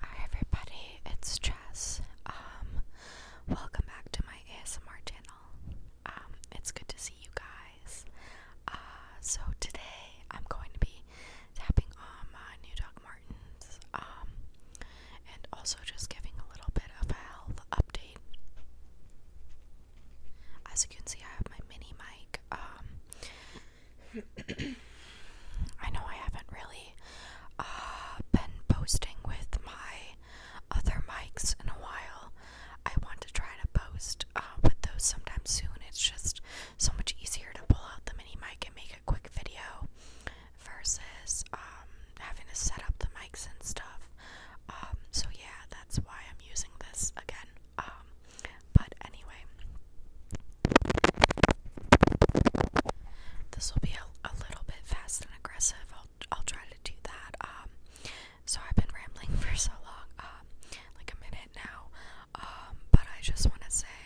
Hi everybody, it's Jess. Um, welcome back to my ASMR channel. Um, it's good to see you guys. Uh, so today I'm going to be tapping on my new Doc Martens, um, and also just giving a little bit of a health update. As you can see, I have my mini mic. I know I haven't really uh, been posting with my other mics in a while. I want to try to post uh, with those sometime soon. It's just so much easier to pull out the mini mic and make a quick video versus um, having to set up the mics and stuff. Um, so, yeah, that's why I'm using this again. Um, but anyway, this will be a, a little bit fast and aggressive. I'll I'll try to do that. Um, so I've been rambling for so long, um, like a minute now. but I just want to say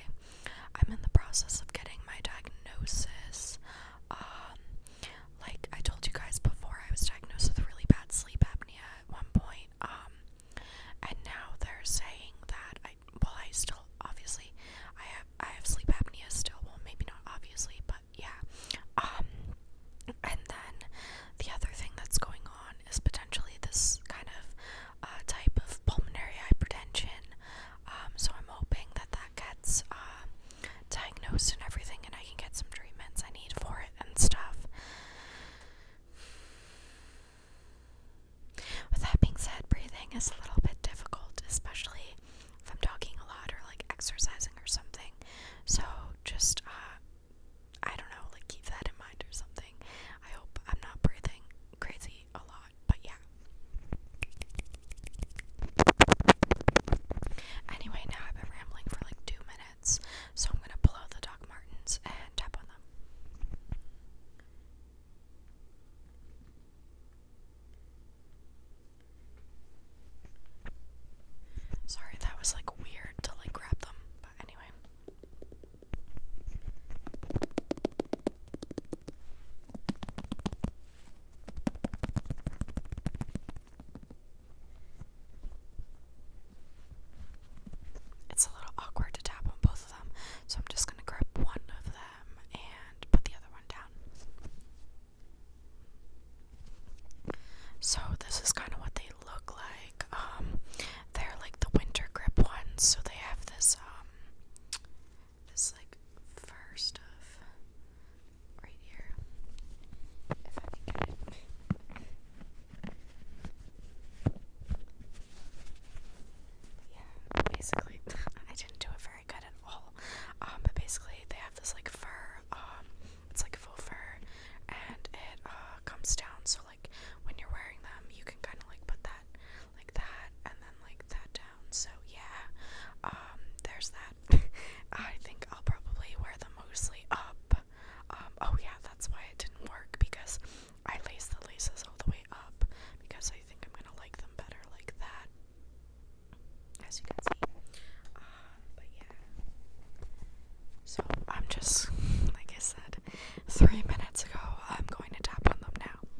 I'm in the process of getting my diagnosis. like I told you guys before, I was diagnosed with really bad sleep apnea at one point. Um, and now they're saying that I well, I still obviously I have I have sleep apnea still. Well, maybe not obviously, but yeah. Um, and then the other thing that's going on is potentially this kind of uh, type of pulmonary hypertension. Um, so I'm hoping that that gets uh, diagnosed and everything, and I can get some treatments I need for it and stuff. With that being said, breathing is a little bit difficult, especially if I'm talking a lot or like exercising or something. So just, uh, I don't know, like keep that in mind or something. I hope I'm not breathing crazy a lot, but yeah. Anyway, now I've been rambling for like two minutes, so I'm gonna pull out the Doc Martens and tap on them. Sorry, that was like weird to like grab them, but anyway. It's a little awkward to tap on both of them, so I'm just going to grab one of them and put the other one down. So, this is kind of what they look like. Um, they're like the winter grip ones, so they have this um, this like fur stuff right here. Yeah, basically, I didn't do it very good at all. Um, but basically, they have this like fur. Um, it's like full fur, and it uh comes down. So like when you're wearing them, you can kind of like put that like that, and then like that down. So yeah, um, there's that. I think I'll probably wear them mostly up. Um, oh yeah, that's why it didn't work because I laced the laces all the way up because I think I'm gonna like them better like that. As you can see. Um, but yeah. So I'm just, like I said, three minutes ago, I'm going to tap on them now.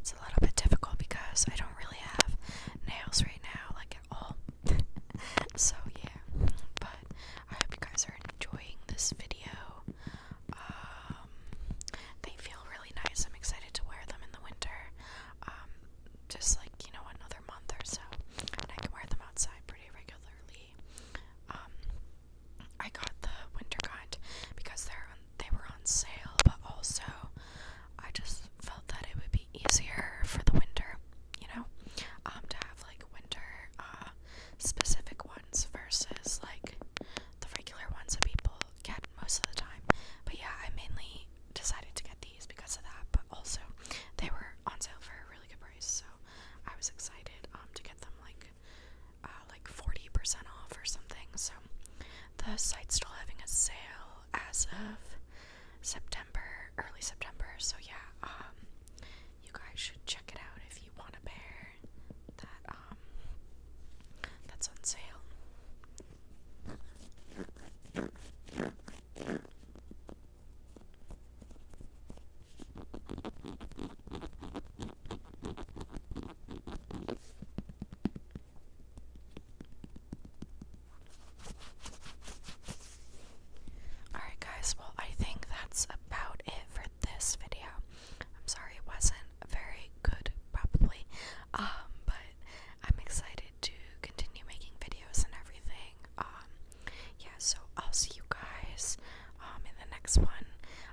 It's a little bit difficult because I don't really have nails right now, like at all. so, yeah. But I hope you guys are enjoying this video. Um, they feel really nice. I'm excited to wear them in the winter. Um, just like you know another month or so, and I can wear them outside pretty regularly. Um, I got the winter kind because they're they were on sale, but also I just felt that it would be easier for the winter, you know, um, to have like winter uh, specific ones versus like the regular ones that people get most of the time. But yeah, I mainly I decided to get these because of that, but also they were on sale for a really good price, so I was excited um, to get them like uh, like 40% off or something. So the site's still having a sale as of September, early September. So yeah, um, you guys should check it out if you want a pair that um that's on sale. Alright, guys, well, I think that's about it for this video. I'm sorry it wasn't very good probably. Um, but I'm excited to continue making videos and everything. Um, yeah, so I'll see you guys um in the next one.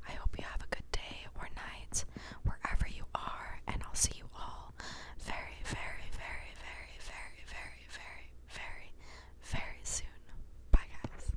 I hope you have a good day or night wherever you are, and I'll see you all very, very, very, very, very, very, very, very, very soon. Bye guys.